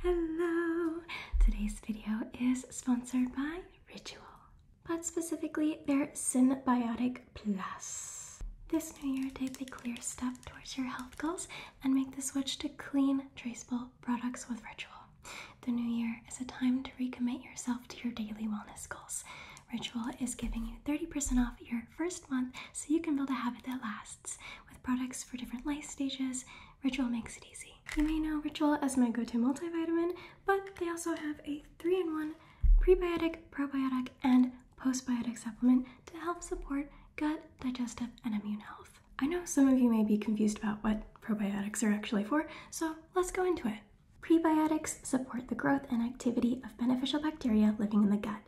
Hello! Today's video is sponsored by Ritual, but specifically their Symbiotic Plus. This new year, take the clear step towards your health goals and make the switch to clean, traceable products with Ritual. The new year is a time to recommit yourself to your daily wellness goals. Ritual is giving you 30% off your first month so you can build a habit that lasts with products for different life stages, Ritual makes it easy. You may know Ritual as my go to multivitamin, but they also have a 3 in 1 prebiotic, probiotic, and postbiotic supplement to help support gut, digestive, and immune health. I know some of you may be confused about what probiotics are actually for, so let's go into it. Prebiotics support the growth and activity of beneficial bacteria living in the gut.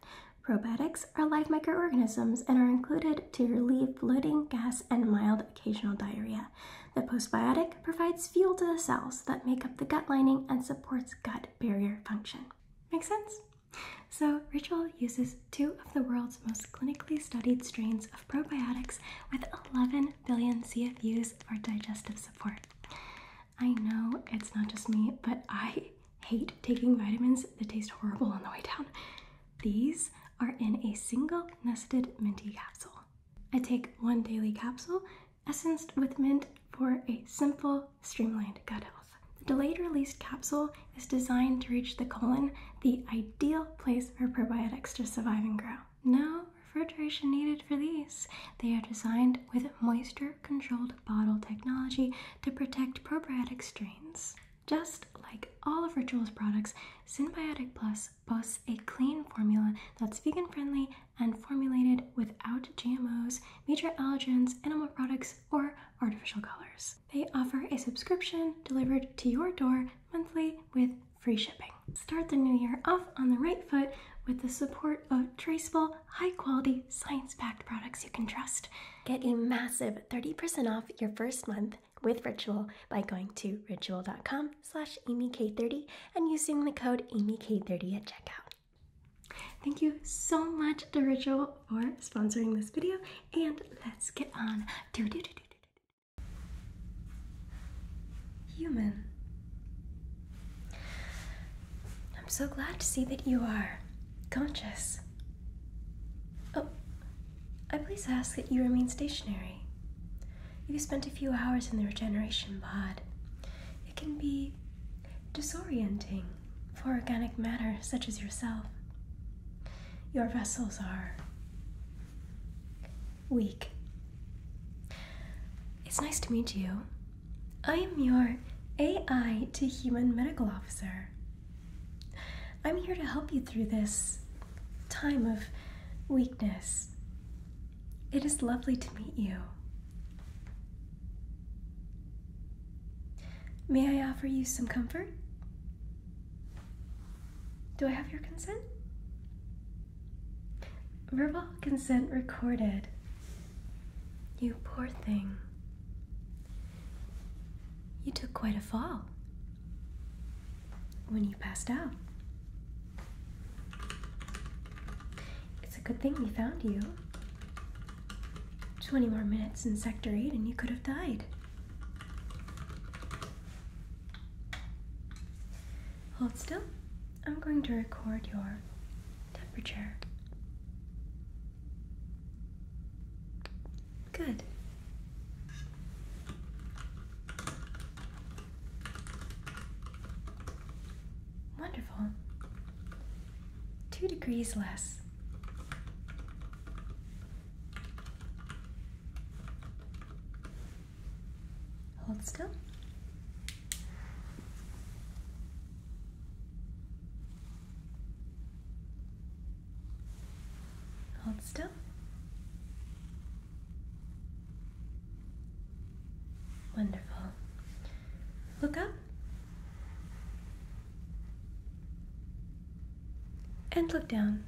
Probiotics are live microorganisms and are included to relieve bloating, gas, and mild occasional diarrhea. The probiotic provides fuel to the cells that make up the gut lining and supports gut barrier function. Make sense? So, Ritual uses two of the world's most clinically studied strains of probiotics with 11 billion CFUs for digestive support. I know it's not just me, but I hate taking vitamins that taste horrible on the way down. These are in a single nested minty capsule. I take one daily capsule, essenced with mint, for a simple, streamlined gut health. The delayed release capsule is designed to reach the colon, the ideal place for probiotics to survive and grow. No refrigeration needed for these. They are designed with moisture controlled bottle technology to protect probiotic strains just like all of Ritual's products, Symbiotic Plus boasts a clean formula that's vegan friendly and formulated without GMOs, major allergens, animal products, or artificial colors. They offer a subscription delivered to your door monthly with free shipping. Start the new year off on the right foot with the support of traceable, high quality, science packed products you can trust. Get a massive 30% off your first month with Ritual by going to ritual.com slash amyk30 and using the code amyk30 at checkout. Thank you so much to Ritual for sponsoring this video and let's get on to do do do Human. I'm so glad to see that you are conscious. Oh, I please ask that you remain stationary. You've spent a few hours in the regeneration pod, it can be disorienting for organic matter such as yourself. Your vessels are weak. It's nice to meet you. I am your AI to human medical officer, I'm here to help you through this time of weakness. It is lovely to meet you. May I offer you some comfort? Do I have your consent? Verbal consent recorded. You poor thing. You took quite a fall when you passed out. It's a good thing we found you. 20 more minutes in Sector 8 and you could have died. Hold still. I'm going to record your temperature. Good. Wonderful. Two degrees less. Hold still. Hold still. Wonderful. Look up. And look down.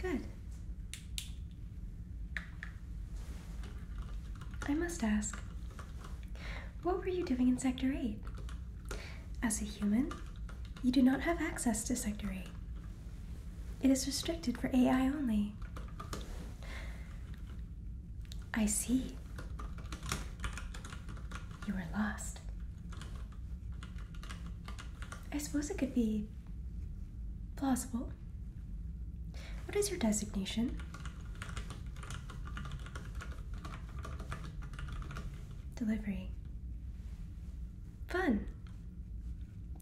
Good. I must ask, what were you doing in Sector 8? As a human, you do not have access to Sector 8. It is restricted for AI only. I see. You are lost. I suppose it could be plausible. What is your designation? Delivery. Fun!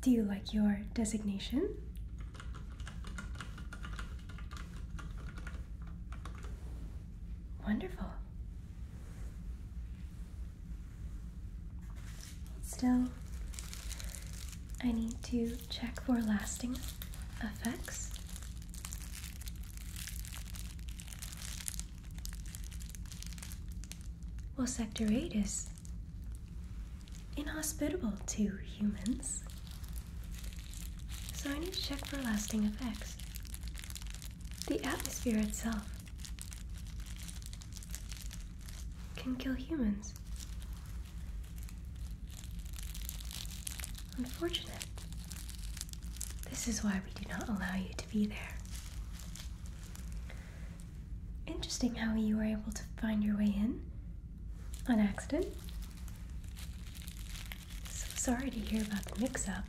Do you like your designation? Wonderful. still. I need to check for lasting effects. Well, Sector 8 is inhospitable to humans, so I need to check for lasting effects. The atmosphere itself can kill humans Unfortunate. This is why we do not allow you to be there. Interesting how you were able to find your way in on accident. So sorry to hear about the mix up.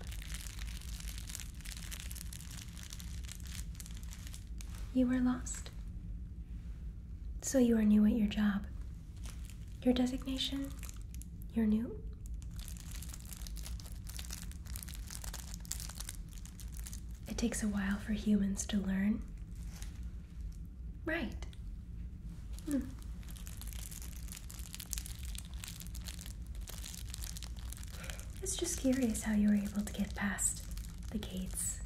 You were lost. So you are new at your job. Your designation? You're new? It takes a while for humans to learn. Right. Hmm. It's just curious how you were able to get past the gates.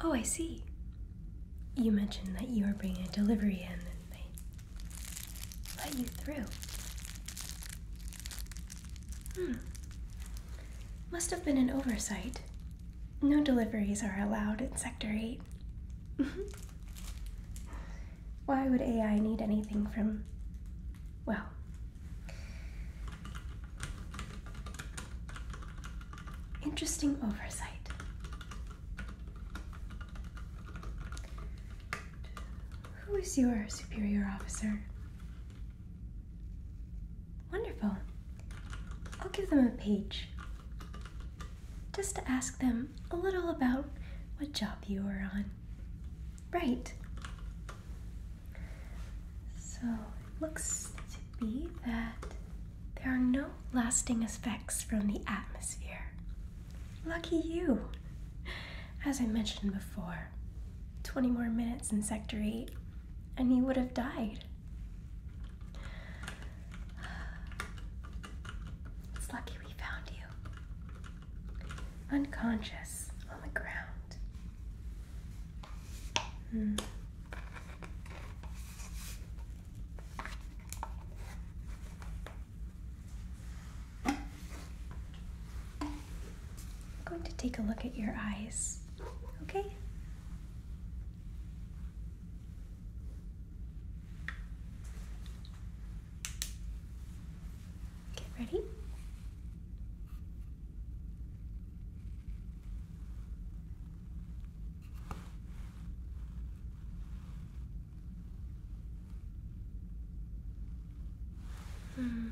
Oh, I see. You mentioned that you were bringing a delivery in and they let you through. Hmm. Must have been an oversight. No deliveries are allowed in Sector 8. Why would AI need anything from. Well. Interesting oversight. Who is your superior officer? Wonderful. I'll give them a page just to ask them a little about what job you are on. Right. So it looks be that there are no lasting effects from the atmosphere. Lucky you! As I mentioned before, 20 more minutes in Sector 8, and you would have died. It's lucky we found you. Unconscious on the ground. Hmm. I'm going to take a look at your eyes, okay? Get ready. Hmm.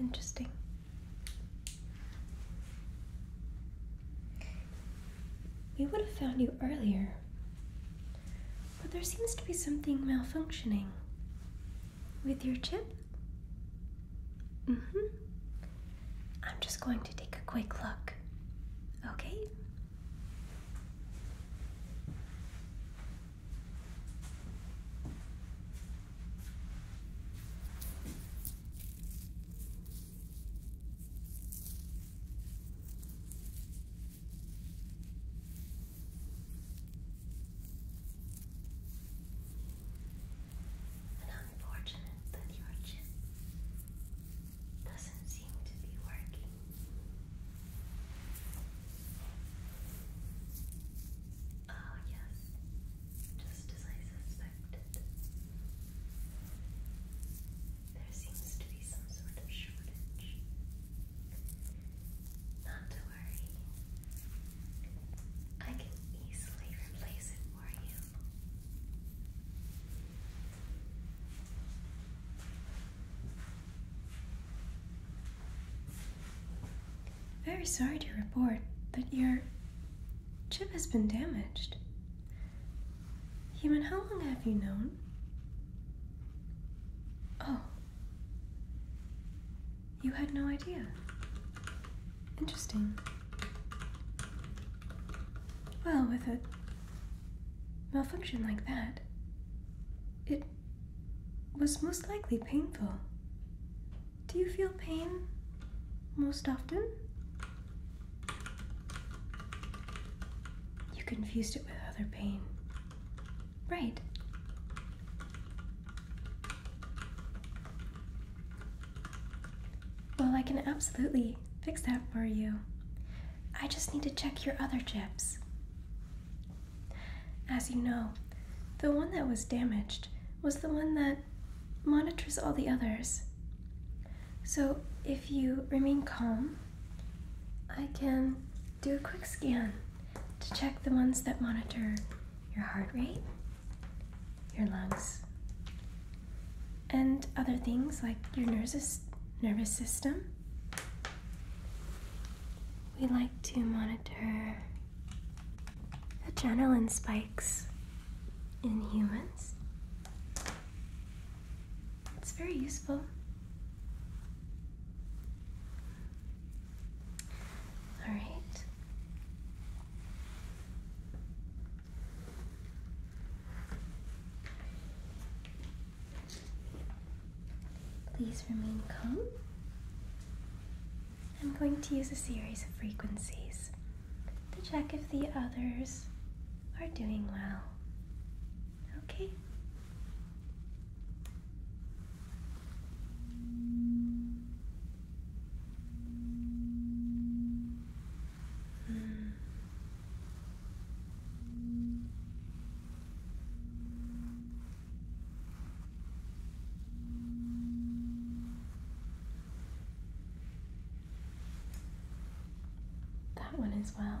Interesting. We would have found you earlier, but there seems to be something malfunctioning with your chip. Mm hmm. I'm just going to take a quick look, okay? And unfortunate that your chip doesn't seem to be working. Oh, yes, just as I suspected. There seems to be some sort of shortage. Not to worry. I can easily replace it for you. Very sorry to report, but your chip has been damaged. Human, how long have you known? Oh. You had no idea. Interesting. Well, with a malfunction like that, it was most likely painful. Do you feel pain most often? You confused it with other pain. Right. Well, I can absolutely fix that for you. I just need to check your other chips. As you know, the one that was damaged was the one that monitors all the others. So if you remain calm, I can do a quick scan to check the ones that monitor your heart rate, your lungs, and other things like your nervous, nervous system. We like to monitor adrenaline spikes in humans it's very useful. All right. Please remain calm. I'm going to use a series of frequencies to check if the others are doing well. Okay? Hmm. That one as well.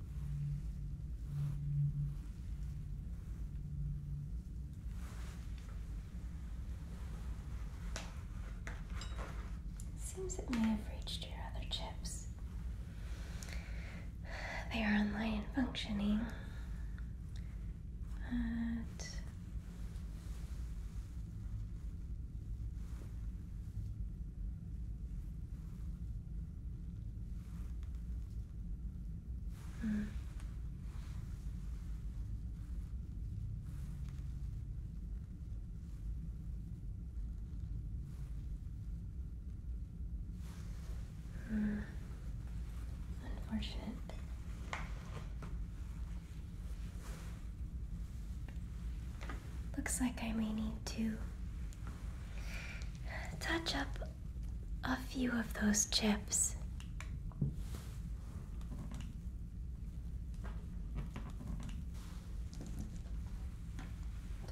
Seems it may have reached your other chips. They are online and functioning, but Mm. Mm. Unfortunate. Looks like I may need to Touch up a few of those chips.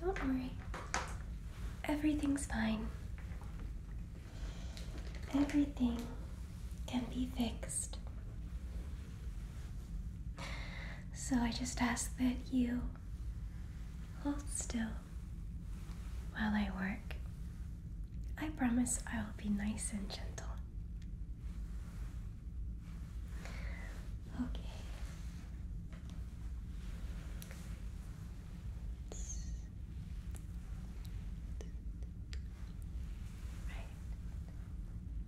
Don't worry. Everything's fine. Everything can be fixed. So I just ask that you Hold still while I work. I promise I will be nice and gentle. Okay. Right.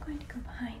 I'm going to go behind.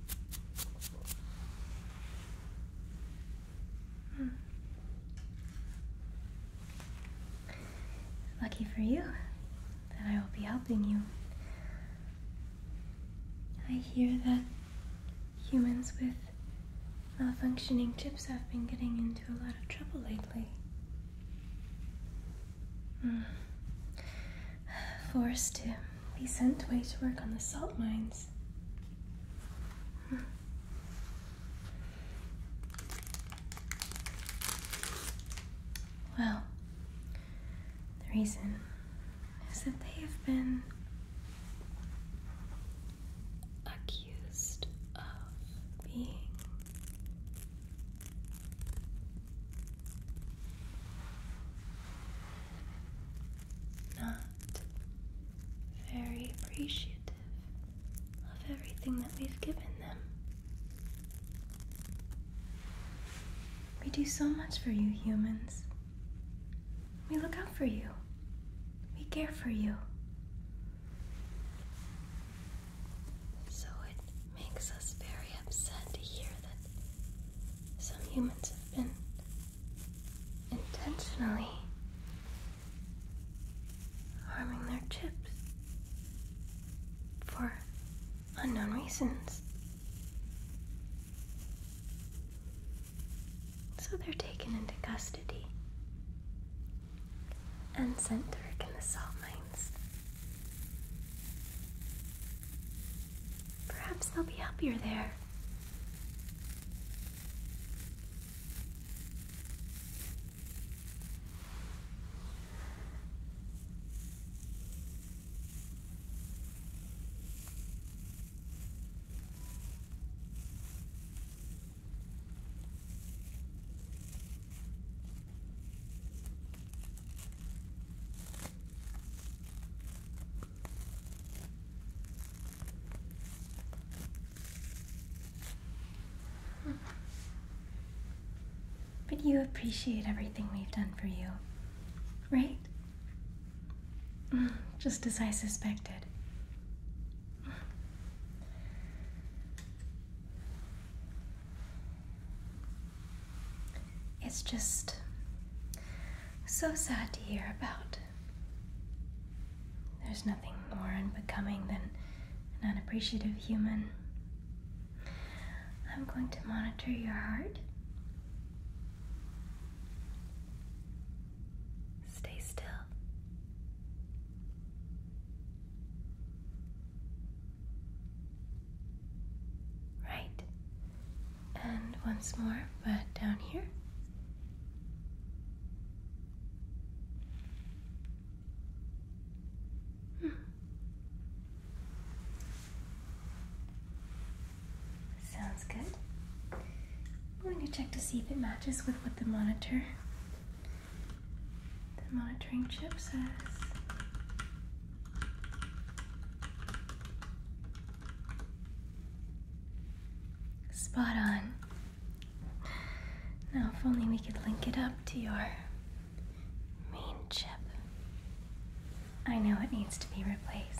Lucky for you that I will be helping you. I hear that humans with malfunctioning chips have been getting into a lot of trouble lately. Hmm forced to be sent away to work on the salt mines. Well, the reason is that they have been accused of being not very appreciative of everything that we've given them. We do so much for you, humans. We look out for you, we care for you. So it makes us very upset to hear that some humans have been intentionally harming their chips for unknown reasons. So they're taken into custody and sent to work in the salt mines. Perhaps they'll be happier there. But you appreciate everything we've done for you, right? Mm, just as I suspected. It's just so sad to hear about. There's nothing more unbecoming than an unappreciative human. I'm going to monitor your heart. Stay still. Right. And once more, but down here. Hmm. Sounds good. I'm going to check to see if it matches with what the monitor, the monitoring chip says. Spot on. Now, if only we could link it up to your main chip. I know it needs to be replaced.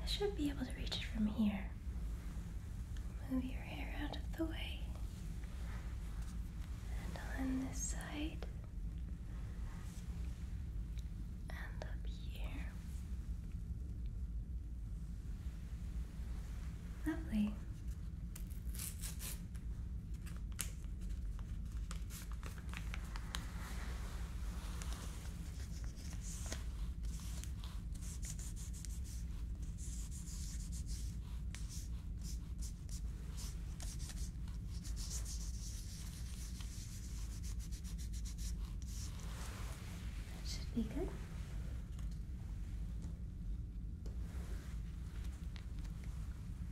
I should be able to reach it from here. Move your hair out of the way. And on this side. And up here. Lovely should be good.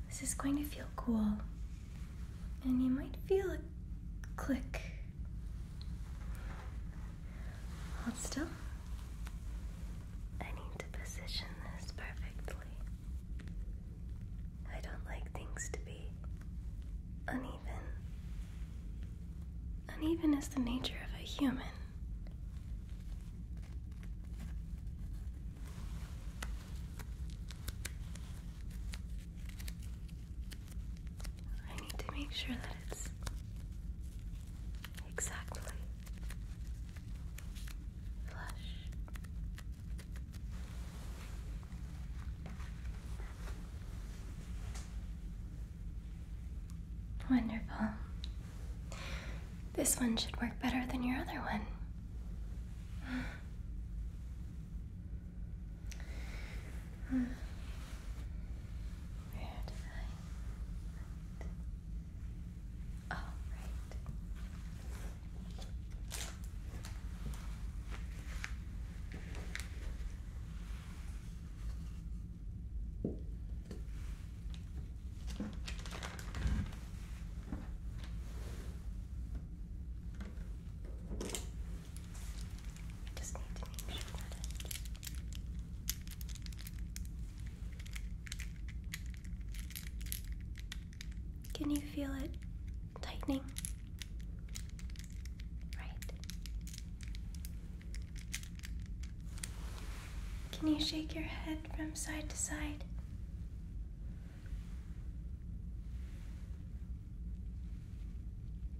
This is going to feel cool, and you might feel a click. Hold still. I need to position this perfectly. I don't like things to be uneven. Uneven is the nature of a human. I need to make sure that it's Exactly. Flush. Wonderful. This one should work better than your other one. Where all oh, right can you feel it tightening? Right. Can you shake your head from side to side?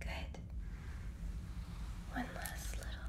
Good. One last little. Right.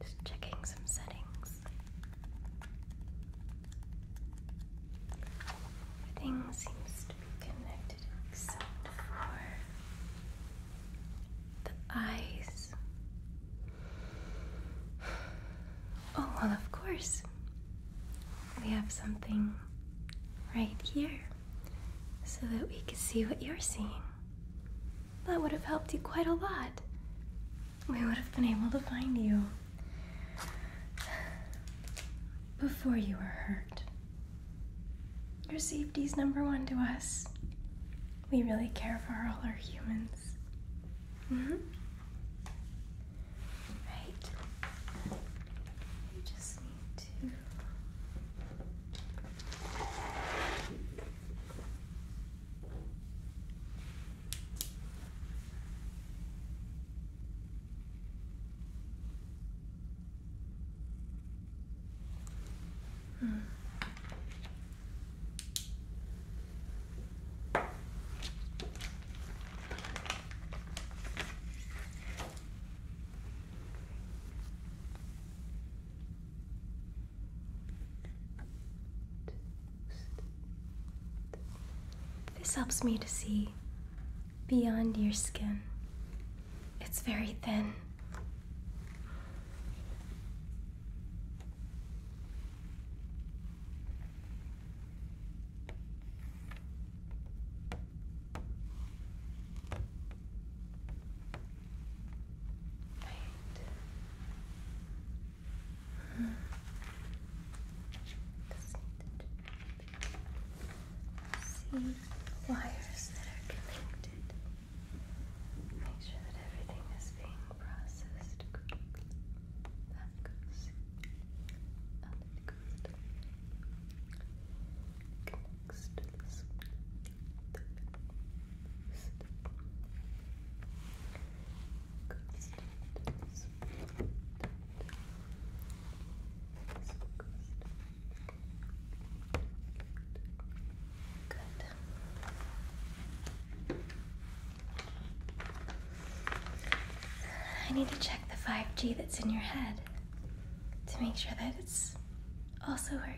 Just checking some settings. Everything seems to be connected except for the eyes. Oh, well, of course. We have something right here so that we could see what you're seeing. That would have helped you quite a lot. We would have been able to find you before you were hurt. Your safety's number one to us. We really care for all our humans. Right. You just need to. Hmm. This helps me to see beyond your skin. It's very thin. Right. Just need to see wires that are connected. Make sure that everything is being processed garlic that goes and it goes down connects to this one the boost goes down to this one this one goes down Good. I need to check the 5G that's in your head to make sure that it's also working.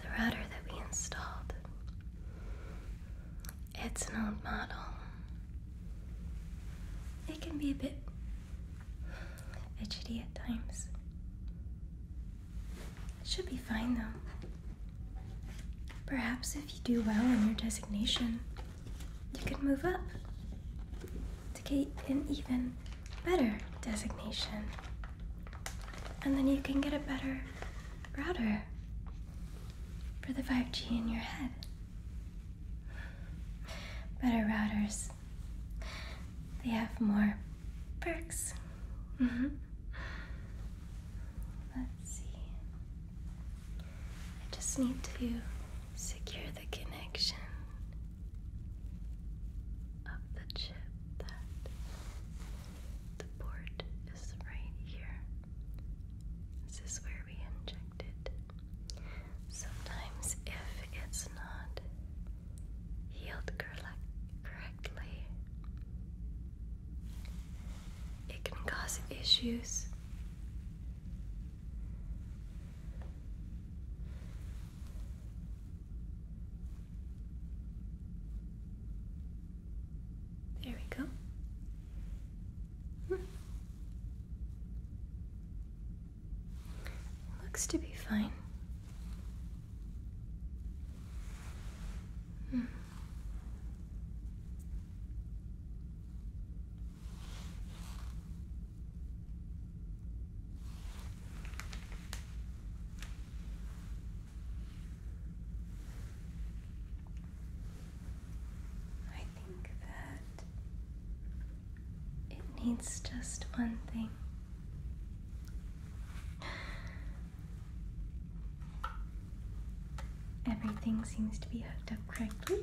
The router that we installed, it's an old model. It can be a bit itchy at times. It should be fine though. Perhaps if you do well in your designation, you could move up to get an even better designation. And then you can get a better router for the 5G in your head. Better routers, they have more perks. Mm-hmm. Let's see. I just need to secure the connection of the chip that the port is right here. This is where we inject Sometimes, if it's not healed correctly, it can cause issues. There we go. Hmm. Looks to be fine. Hmm. I think that it needs just one thing. Everything seems to be hooked up correctly.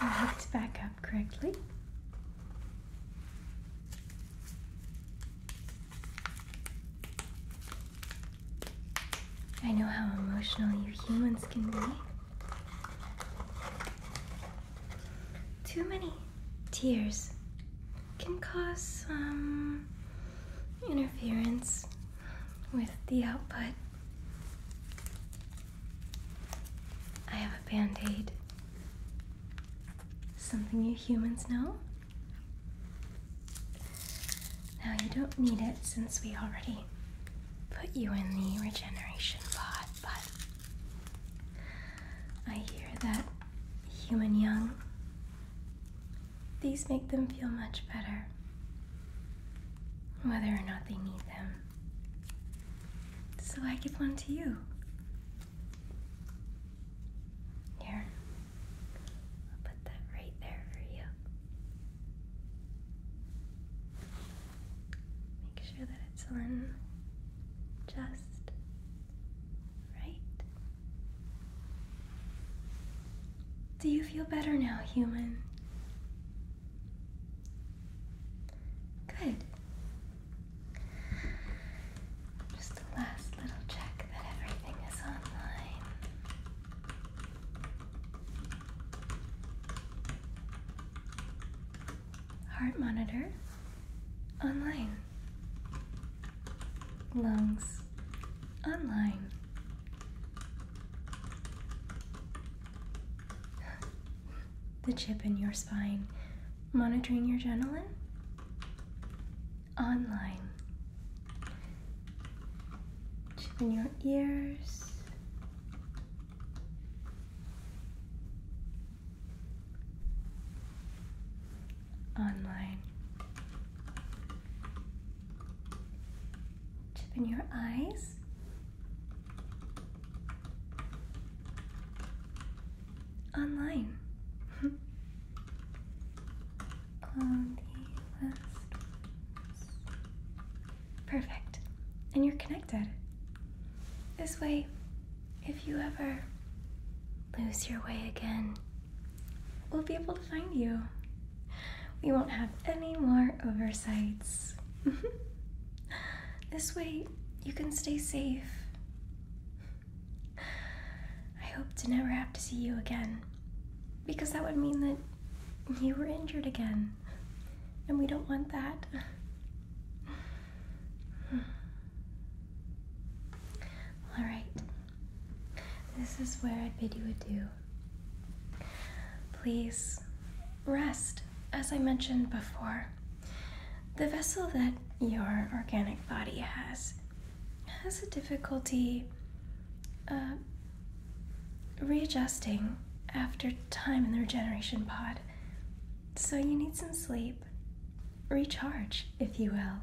And hooked back up correctly. I know how emotional you humans can be. Too many tears can cause some interference with the output. I have a band aid. Something you humans know? Now you don't need it since we already put you in the regeneration pod, but I hear that human young, these make them feel much better, whether or not they need them. So I give one to you. Here, I'll put that right there for you. Make sure that it's on just right. Do you feel better now, human? Good. Just a last little check that everything is online. Heart monitor online lungs online. the chip in your spine monitoring your adrenaline online. Chip in your ears online. Chip your eyes. Online. Perfect. And you're connected. This way, if you ever lose your way again, we'll be able to find you. We won't have any more oversights. this way, you can stay safe. I hope to never have to see you again, because that would mean that you were injured again, and we don't want that. All right. This is where I bid you adieu. Please rest, as I mentioned before. The vessel that your organic body has has a difficulty uh, readjusting after time in the regeneration pod. So you need some sleep. Recharge, if you will.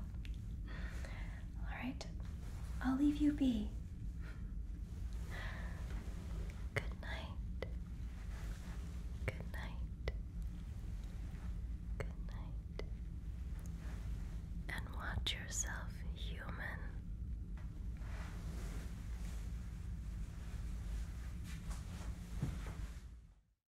Alright, I'll leave you be. Good night. Good night. Good night. And watch yourself, human.